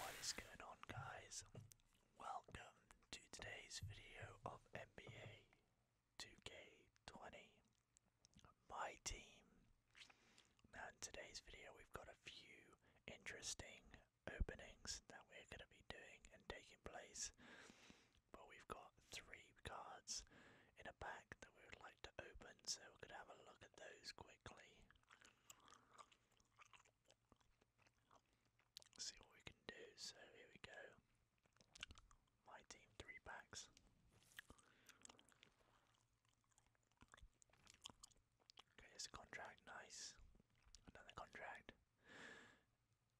What is going on, guys? Welcome to today's video of NBA 2K20. My team now in today's video we've got a few interesting openings that we're going to be doing and taking place. But we've got three cards in a pack that we would like to open so we're going to have a look at those quickly. See what we can do. So here we go. My team three packs. Okay, here's a contract, nice. Another contract.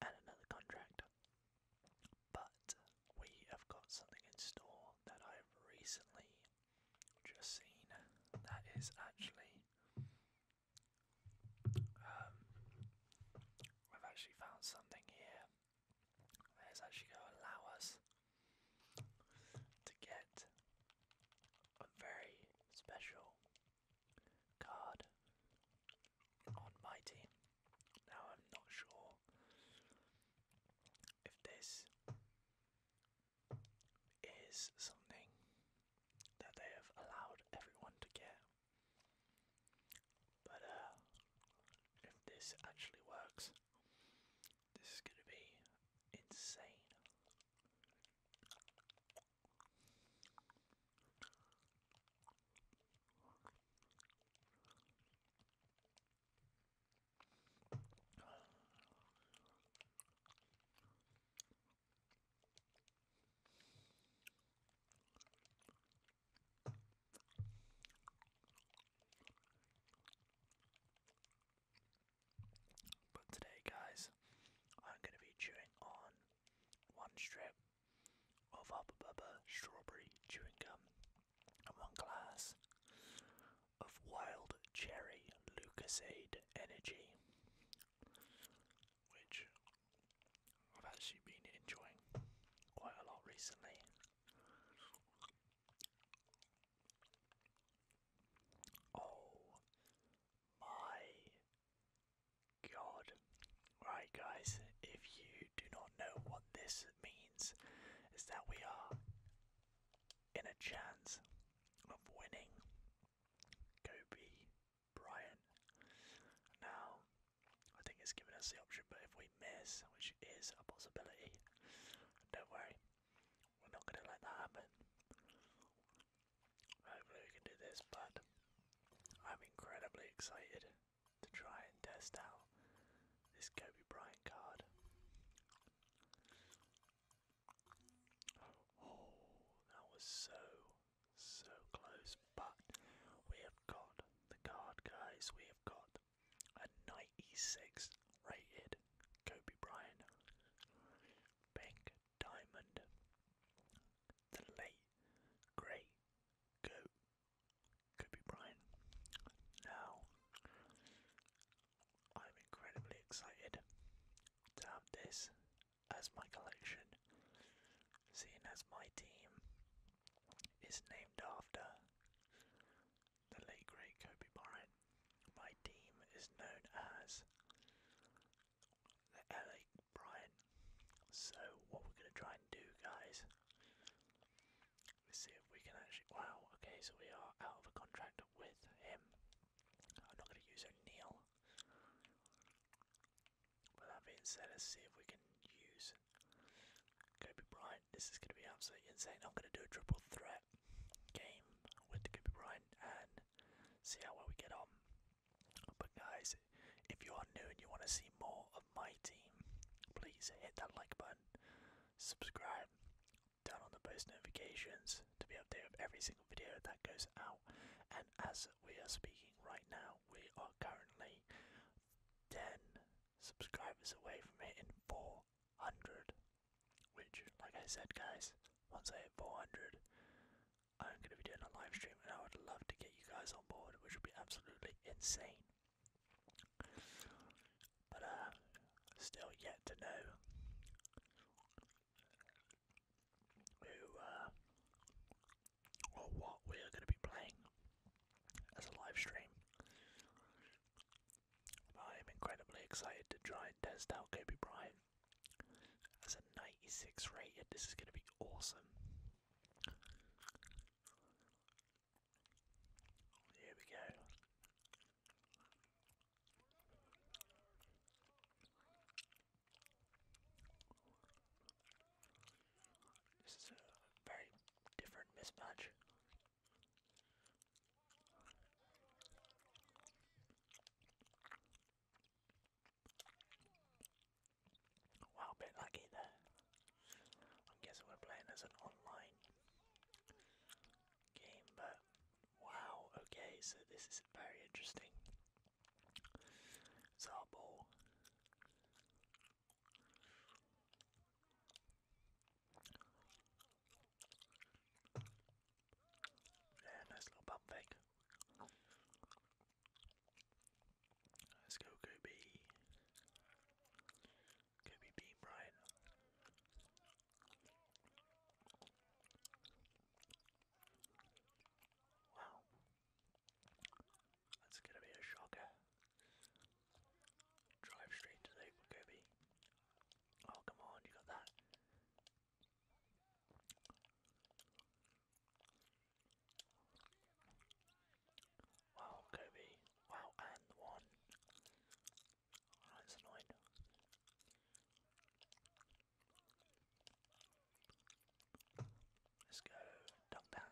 And another contract. But we have got something in store that I've recently just seen that is actually um I've actually found something here that is actually gonna oh, allow us to get a very special card on my team. Now, I'm not sure if this is something that they have allowed everyone to get. But uh, if this actually works, this is going to be insane. But today, guys, I'm going to be chewing on one strip of Hubba Bubba strawberry chewing gum and one glass of wild cherry Lucasade energy, which I've actually been enjoying quite a lot recently. Oh my god. Right, guys, if you do not know what this means, is that we are in a chance of winning Kobe Bryant. Now, I think it's given us the option, but if we miss, which is a possibility, don't worry, we're not going to let that happen. Hopefully we can do this, but I'm incredibly excited to try and test out this Kobe Bryant card. Oh, that was so, so close, but we have got the card, guys. We have got a E6 rated Kobe Bryant, Pink Diamond, the late great Go Kobe Bryant. Now, I'm incredibly excited to have this as my collection, seeing as my team is named after the late great Kobe Bryant, my team is known as the LA Bryant. So what we're gonna try and do, guys? Let's see if we can actually. Wow. Okay, so we are out of a contract with him. I'm not gonna use O'Neal. With that being said, let's see if we can use Kobe Bryant. This is gonna be absolutely insane. I'm gonna do a triple threat game with Kobe Bryant and see how well we get on. But guys, if you are new and you want to see more of my team, please hit that like button, subscribe, turn on the post notifications to be updated with every single video that goes out. And as we are speaking right now, we are currently 10 subscribers away from hitting 400 which, like I said, guys, once I hit 400, I'm going to be doing a live stream, and I would love to get you guys on board, which would be absolutely insane. But uh, still yet to know who uh, or what we are going to be playing as a live stream. I am incredibly excited to try and test out Kobe Bryant as a 96 rated. This is going to be awesome. Here we go. This is a very different mismatch. Wow, bit lucky there. I'm guessing we're playing as an online game, but wow, okay, so this is very interesting. It's our ball. Yeah, nice little bump fake. Let's go, Kobe. Kobe Beam Ryan. Wow. That's gonna be a shocker. Drive straight to the Kobe. Oh, come on, you got that. Wow, Kobe. Wow, and one. that's annoying. Let's go. Dunk that.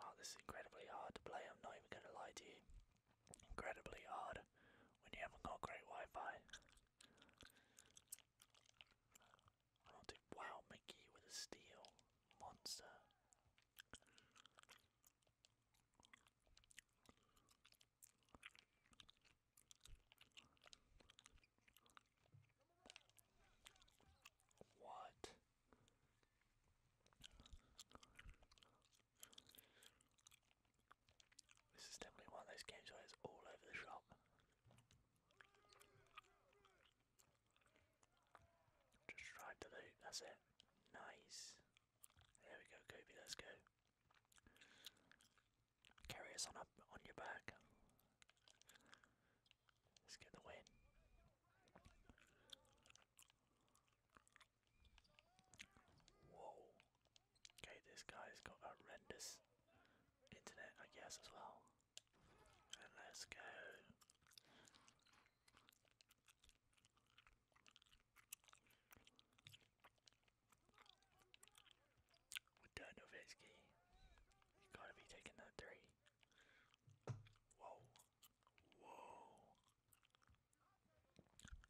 Wow, this is incredibly hard to play. I'm not even going to lie to you incredibly hard when you haven't got great Wi-Fi. Oh, dude, wow, Mickey with a steal. Monster. What? This is definitely one of those games where it's all over the shop. Just drive the loot, that's it. Nice. There we go, Goby, let's go. Carry us on up on your back. Let's get the win. Whoa. Okay, this guy's got horrendous internet, I guess, as well. let's go. With Dirk Nowitzki, you gotta be taking that three. Whoa. Whoa.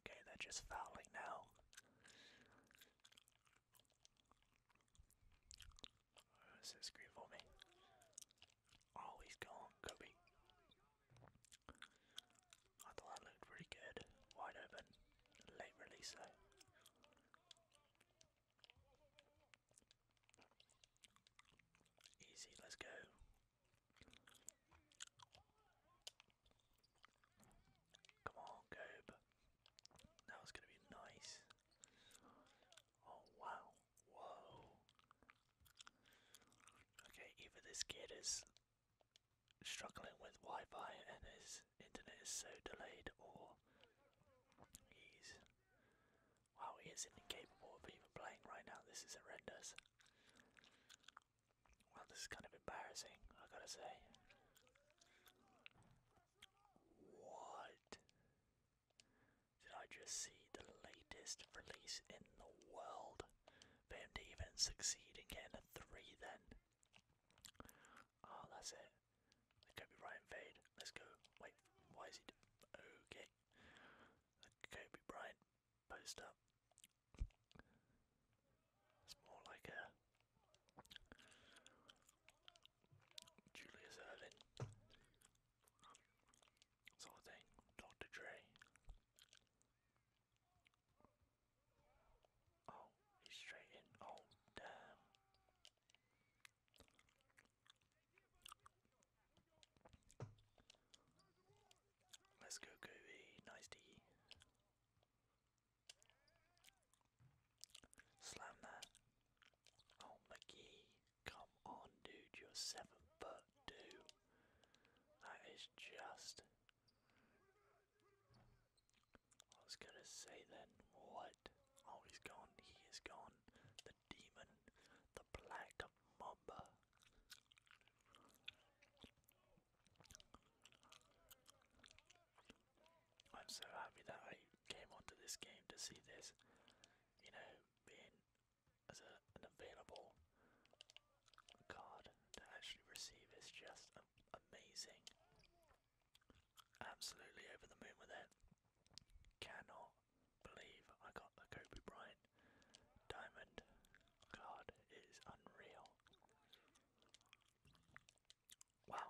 Okay, they're just fouling now. Oh, this is for me. Oh, he's gone, Cubby. I thought that looked pretty good. Wide open. Late release though. Easy, let's go. Come on, Gobe. That was going to be nice. Oh, wow. Whoa. Okay, either this kid is struggling with Wi Fi and his internet is so delayed, or he's. Wow, he is incapable of even playing right now. This is horrendous. Well, this is kind of embarrassing, I gotta say. What? Did I just see the latest release in the world? For him to even succeed in getting a 3 then? Oh, that's it. That could be Let's go. Wait, why is he. Okay. That could post up. It's more like a Julius Erving sort of thing. Dr. Dre. Oh, he's straight in. Oh, damn. Let's go Goody. Nicey. Slam that. on oh, the key. come on dude, you're seven foot two. That is just I was gonna say then what? Oh he's gone, he is gone. The demon, the black mamba. I'm so happy that I came onto this game to see this, you know, being as a, an available card to actually receive is just amazing. Absolutely over the moon with it. Cannot believe I got the Kobe Bryant diamond card. It is unreal. Wow.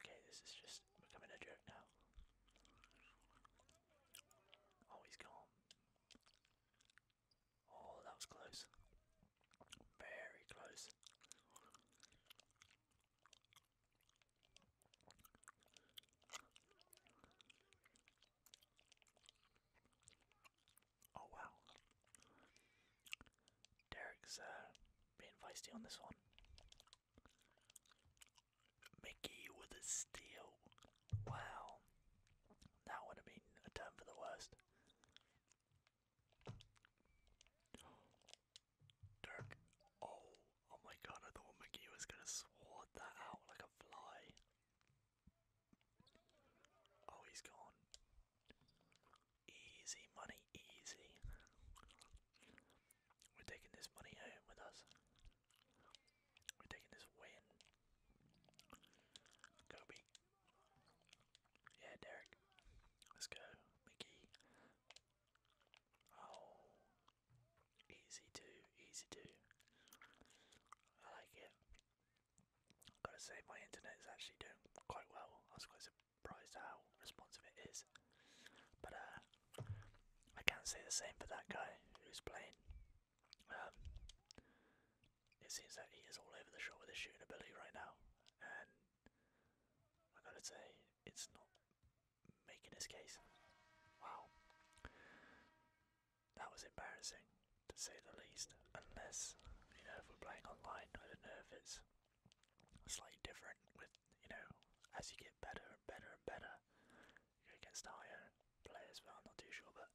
Okay, this is just becoming a joke now. Oh, he's gone. Oh, that was close. Very close. Oh wow. Derek's being feisty on this one. Mickey with a steal. Wow. That would have been a turn for the worst. Dirk. Oh, oh my god, I thought Mickey was gonna swat that out like a fly. Oh, he's gone. Easy money, easy. We're taking this money home with us. We're taking this win. Kobe. Yeah, Derek. Let's go. Mickey. Oh. Easy to, easy to. I like it. I've gotta say, my internet is actually doing quite well. I was quite surprised how responsive it is. But uh, I can't say the same for that guy who's playing. Um, it seems that he is all over the shop with his shooting ability right now, and I gotta say, it's not making his case. Wow that was embarrassing to say the least. Unless you know if we're playing online, I don't know if it's slightly different with you know as you get better and better and better you go against higher players, Well, I'm not too sure. But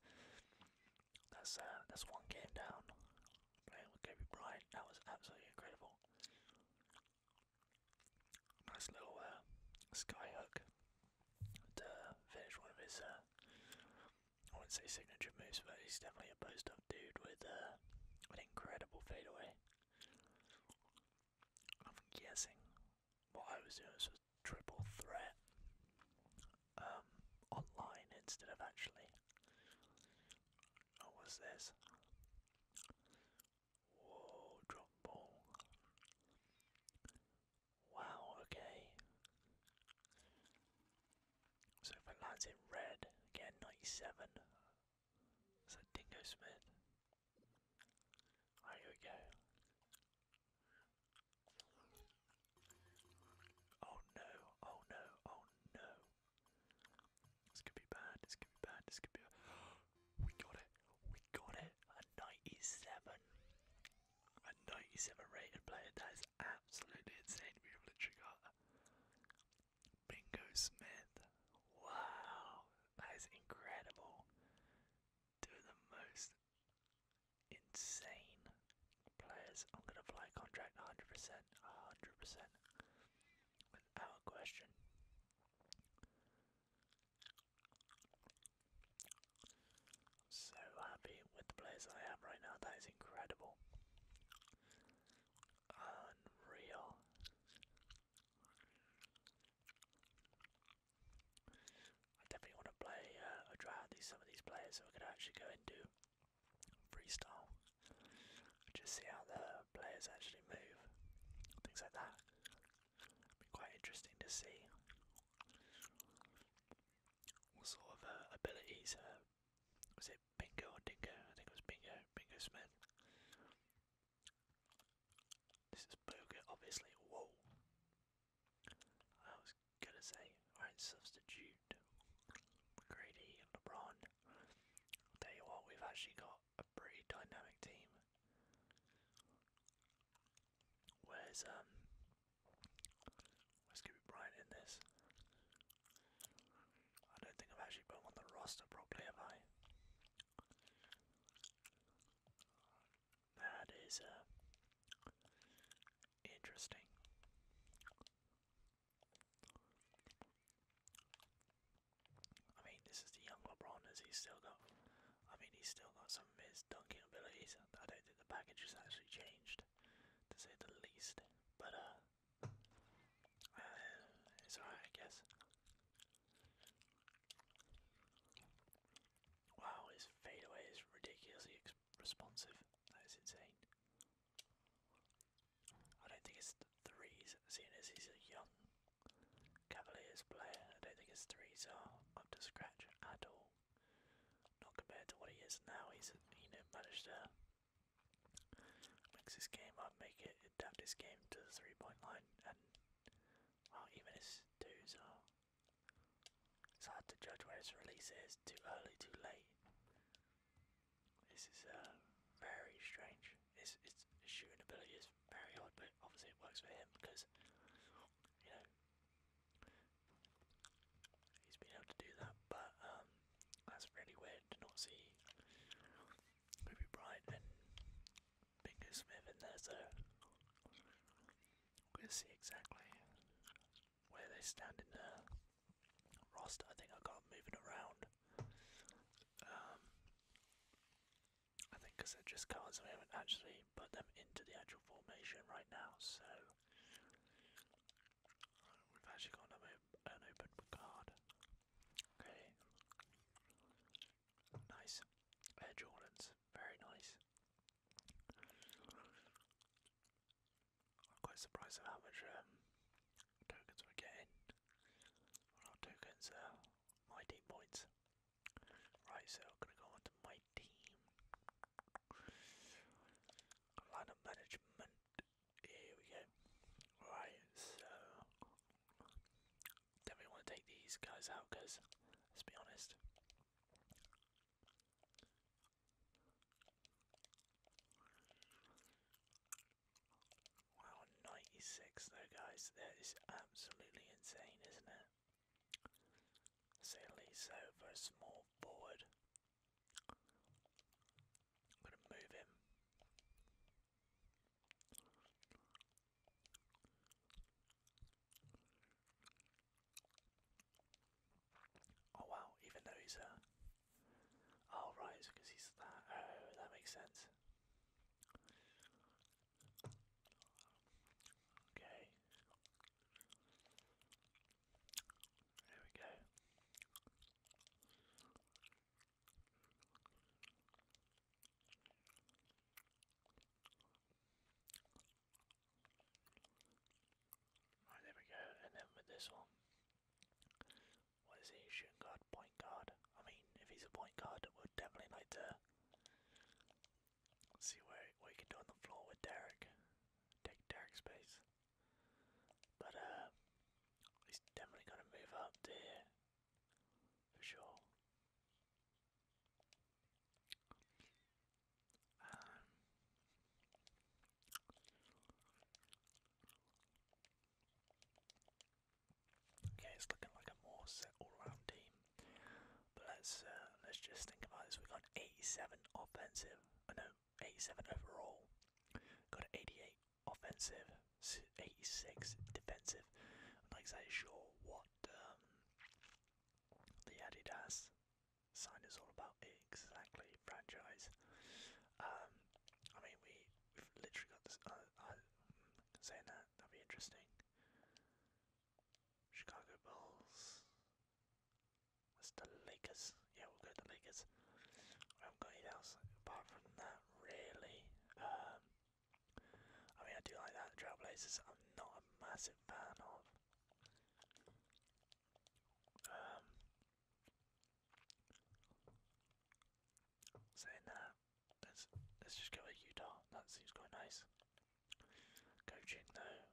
that's uh, that's one game down playing with Kobe Bryant. That was absolutely incredible. Nice little uh, sky hook to finish one of his, uh, I wouldn't say signature moves, but he's definitely a post up dude with uh, an incredible fade away. I'm guessing what I was doing was triple threat um, online instead of actually. Oh, what was this? Whoa, drop ball. Wow, okay. So if it lands in red, again 97. Is that Dingo Smith? Alright, we go. Oh no, oh no, oh no. This could be bad, this could be bad, this could be We got it, we got it, a 97. A 97 rated player, that is absolutely insane we have literally got Bingo Smith. Wow, that is incredible. Two the most insane players. I'm gonna fly contract 100 100%, question so happy with the players I am right now. That is incredible. Unreal. I definitely want to play uh, try out these some of these players so I could actually go and do freestyle. Just see how the players actually move. Things like that. be quite interesting to see what sort of uh, abilities? Uh, was it Bingo or Dingo? I think it was Bingo. Bingo Smith. This is Boga, obviously. Whoa! I was gonna say, alright, substitute. Grady and LeBron. tell you what, we've actually got a pretty dynamic team. Where's um where's Kobe Bryant in this? I don't think I've actually put him on the roster properly, have I? That is uh interesting. I mean, this is the young LeBron. Has he still got? I mean, he's still got so some of his dunking abilities. I don't think the package has actually changed, to say the least. But uh, uh it's alright, I guess. Wow, his fadeaway is ridiculously responsive. That is insane. I don't think it's threes, seeing as he's a young Cavaliers player. I don't think his threes are up to scratch at all. Not compared to what he is now. He's you know managed to mix his game up, make it adapt his game to the three-point line, and well, even his twos are. It's hard to judge where his release is. Too early, too late. This is uh, very strange. His, his shooting ability is very odd, but obviously it works for him because you know he's been able to do that, but um, that's really weird to not see Ruby Bright and Bingo Smith in there, so we'll see exactly where they stand in the roster. I think I got moving around. Um, I think because they're just cards I haven't actually put them into the actual formation right now, so we've actually got an, open card. Okay. Nice. Jordans. Very nice. I'm quite surprised at how much um, tokens we're getting. A tokens are uh, points. Right, so I'm gonna go on to my team. Lineup management. Here we go. Right, so definitely want to take these guys out because let's be honest. Wow, 96 though, guys. That is absolutely insane, isn't it? Salise over a small forward. I'm going to move him. Oh wow, even though he's a. Uh, oh right, because he's that. Oh, that makes sense. Okay, there we go. Right, there we go. And then with this one, what is he? Shooting guard, point guard. I mean, if he's a point guard, we definitely like to Let's see what we can do on the floor with Derek. Take Derek space. But uh, he's definitely gonna move up to For sure. Um, okay, it's looking like a more set all round team. But let's uh, let's just think about this. We got 87 offensive, uh, no, 87 overall. Got 88 offensive, 86 defensive. I'm not exactly sure what um, the Adidas sign is all about exactly. Franchise. Um, I mean, we we've literally got this. Uh, uh, saying that that'd be interesting. Chicago Bulls. That's the Lakers. Yeah, we'll go to the Lakers. I haven't got anything else apart from that, really. Um, I mean, I do like that. Trailblazers, I'm not a massive fan of. Um, saying let's, let's just go with Utah. That seems quite nice. Coaching though. let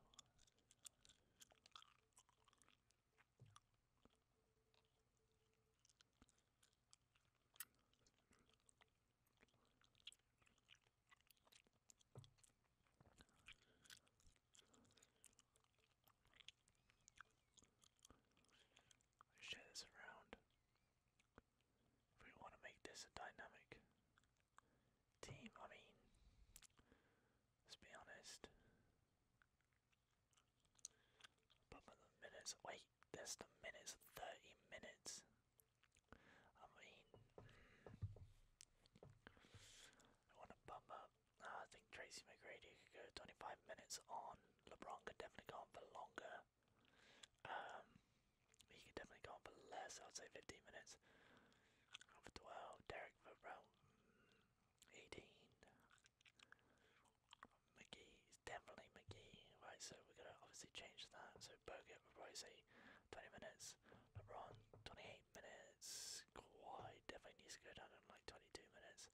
share this around. we want to make this a dynamic team. I mean, let's be honest. But for the minutes, wait, there's the minutes, 30 minutes. I mean, I want to bump up. I think Tracy McGrady could go 25 minutes on. LeBron could definitely go on for longer. Um, he could definitely go on for less. I'd say 15 minutes of 12, Derek Verrell, 18. McGee is definitely McGee, right? So we're gonna obviously change that. So Bogut Royce, 20 minutes. LeBron, 28 minutes. Kawhi definitely needs to go down in like 22 minutes.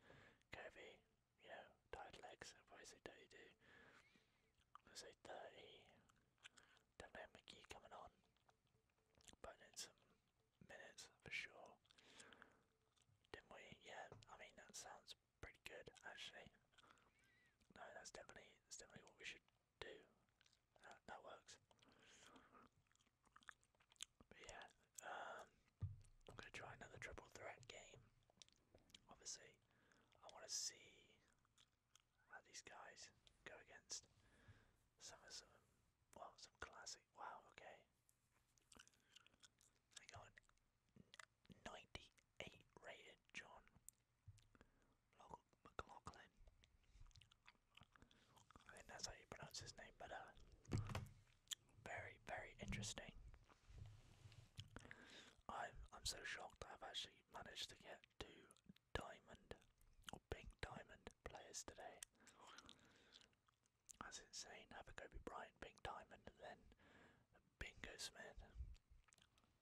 Kobe, you know, tired legs. I'll probably say 32. I'll say 30. Definitely have McGee coming on. But in some minutes for sure. Didn't we? Yeah, I mean that sounds pretty good actually. No, that's definitely that's definitely what we should do. That works. yeah, um, I'm gonna try another triple threat game. Obviously, I wanna see let these guys go against some of some well some classic wow okay they got 98 rated John McLaughlin I think that's how you pronounce his name but uh very very interesting i I'm so shocked I've actually managed to get to diamond or pink diamond players today. That's insane. Have a go, Kobe bright, pink diamond, and then Bingo Smith.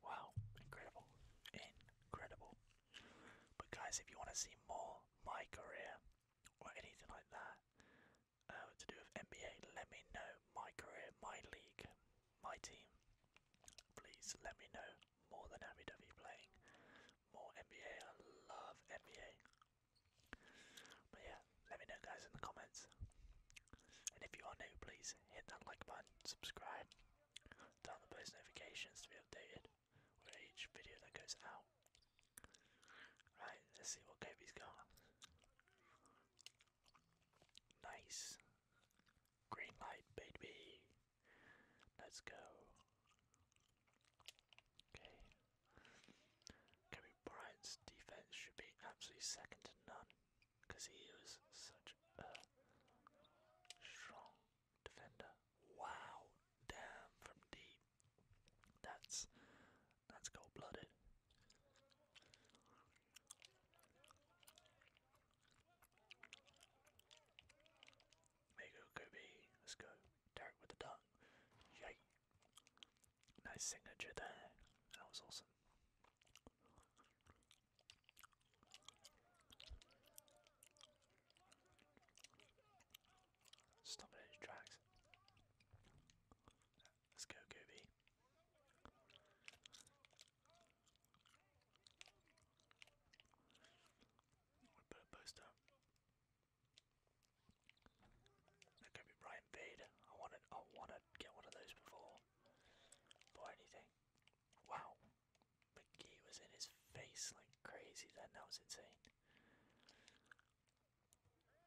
Wow, incredible. Incredible. But guys, if you want to see more my career or anything like that uh, to do with NBA, let me know. My career, my league, my team. Please let me know more than happy to be playing more NBA. I love NBA. But yeah, let me know guys in the comments. And if you are new, please hit that like button, subscribe, turn on the post notifications to be updated with each video that goes out. Right, let's see what Kobe's got. Nice. Green light, baby. Let's go. Okay. Kobe Bryant's defense should be absolutely second to none because he was such a strong defender. Wow, damn from deep. That's that's cold-blooded. There you Let's go. Derek with the dunk. Yay. Nice signature there. That was awesome. Stop tracks. Let's go, Kobe a post up. That could be Brian I wanna get one of those before. Or anything. Wow. McGee was in his face like crazy then, that was insane.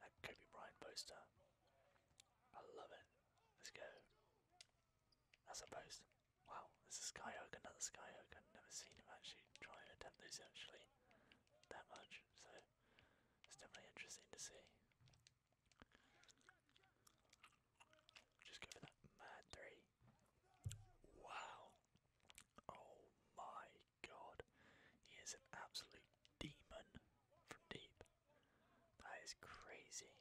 That could be poster. I love it. Let's go. That's a post. Wow, there's a Skyhook, another Skyhook. I've never seen him actually try and attempt those actually that much, so it's definitely interesting to see. Just go for that mad three. Wow. Oh my god. He is an absolute demon from deep. That is crazy.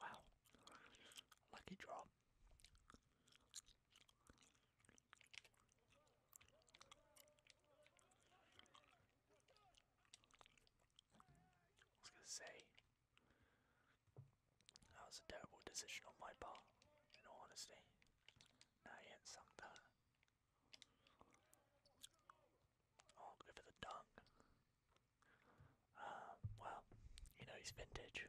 Wow. Lucky draw. I was gonna say that was a terrible decision on my part, in all honesty. Now he hits something. Oh, go for the dunk. Um, well, you know he's vintage.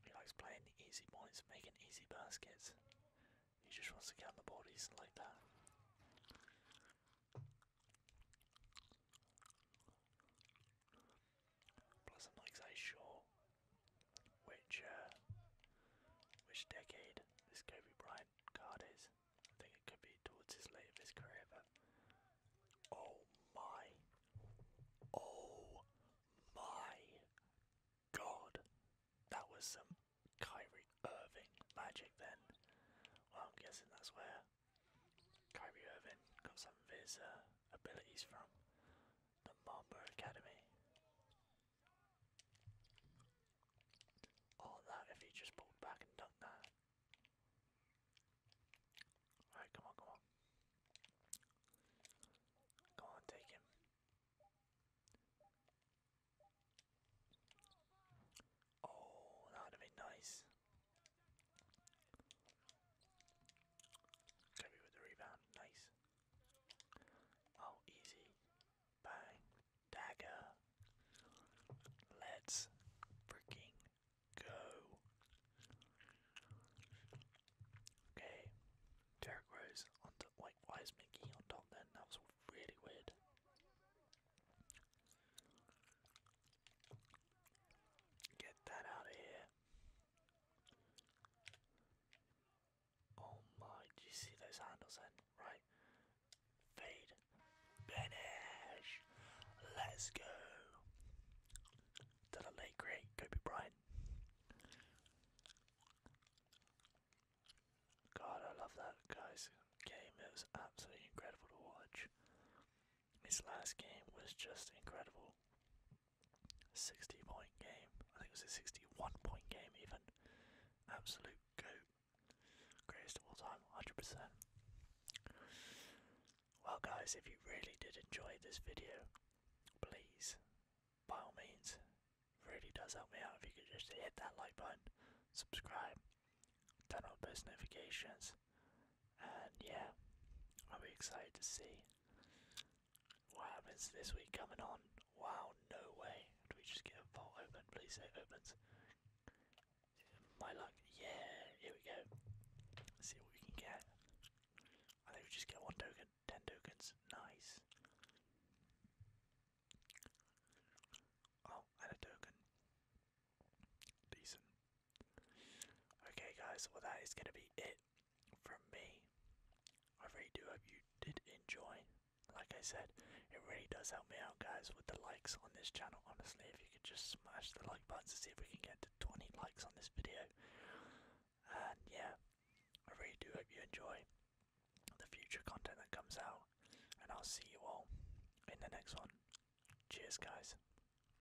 He likes playing the easy points, making easy baskets. He just wants to get the board, like that. Plus I'm like size sure which uh, which decade this Kobe Bryant card is. I think it could be towards his late of his career, but oh my, oh my God, that was some Kyrie Irving magic then. Well, I'm guessing that's where Kyrie Irving got some of uh, abilities from the Mamba Academy. All that if he just pulled back and dunked that. Alright, come on, come on. Come on, take him. Oh, that would have been nice. Kirby with the rebound, nice. Oh, easy. Bang. Dagger. Let's freaking go. Okay. Derek Rose on top. Wait, why is Mickey on top then? That was really weird. Get that out of here. Oh my, do you see those handles then? Right. Fade. Finish. Let's go. To the late great Kobe Bryant. God, I love that guy's game. It was absolutely incredible to watch. His last game was just incredible. 60 point game. I think it was a 61 point game, even. Absolute goat. Greatest of all time, 100%. Well, guys, if you really did enjoy this video, please, by all means, really does help me out if you could just hit that like button, subscribe, turn on post notifications, and yeah, I'll be excited to see what happens this week coming on. Wow, no way. Did we just get a vault open? Please say it opens. My luck. Yeah, here we go. see what we can get. I think we just get one token. Ten tokens. Nice. Oh, and token. Decent. Okay, guys, well, that is going to be it from me. I really do hope you did enjoy. Like I said, it really does help me out, guys, with the likes on this channel. Honestly, if you could just smash the like button to see if we can get to 20 likes on this video. And yeah, I really do hope you enjoy the future content that comes out. And I'll see you all in the next one. Cheers, guys.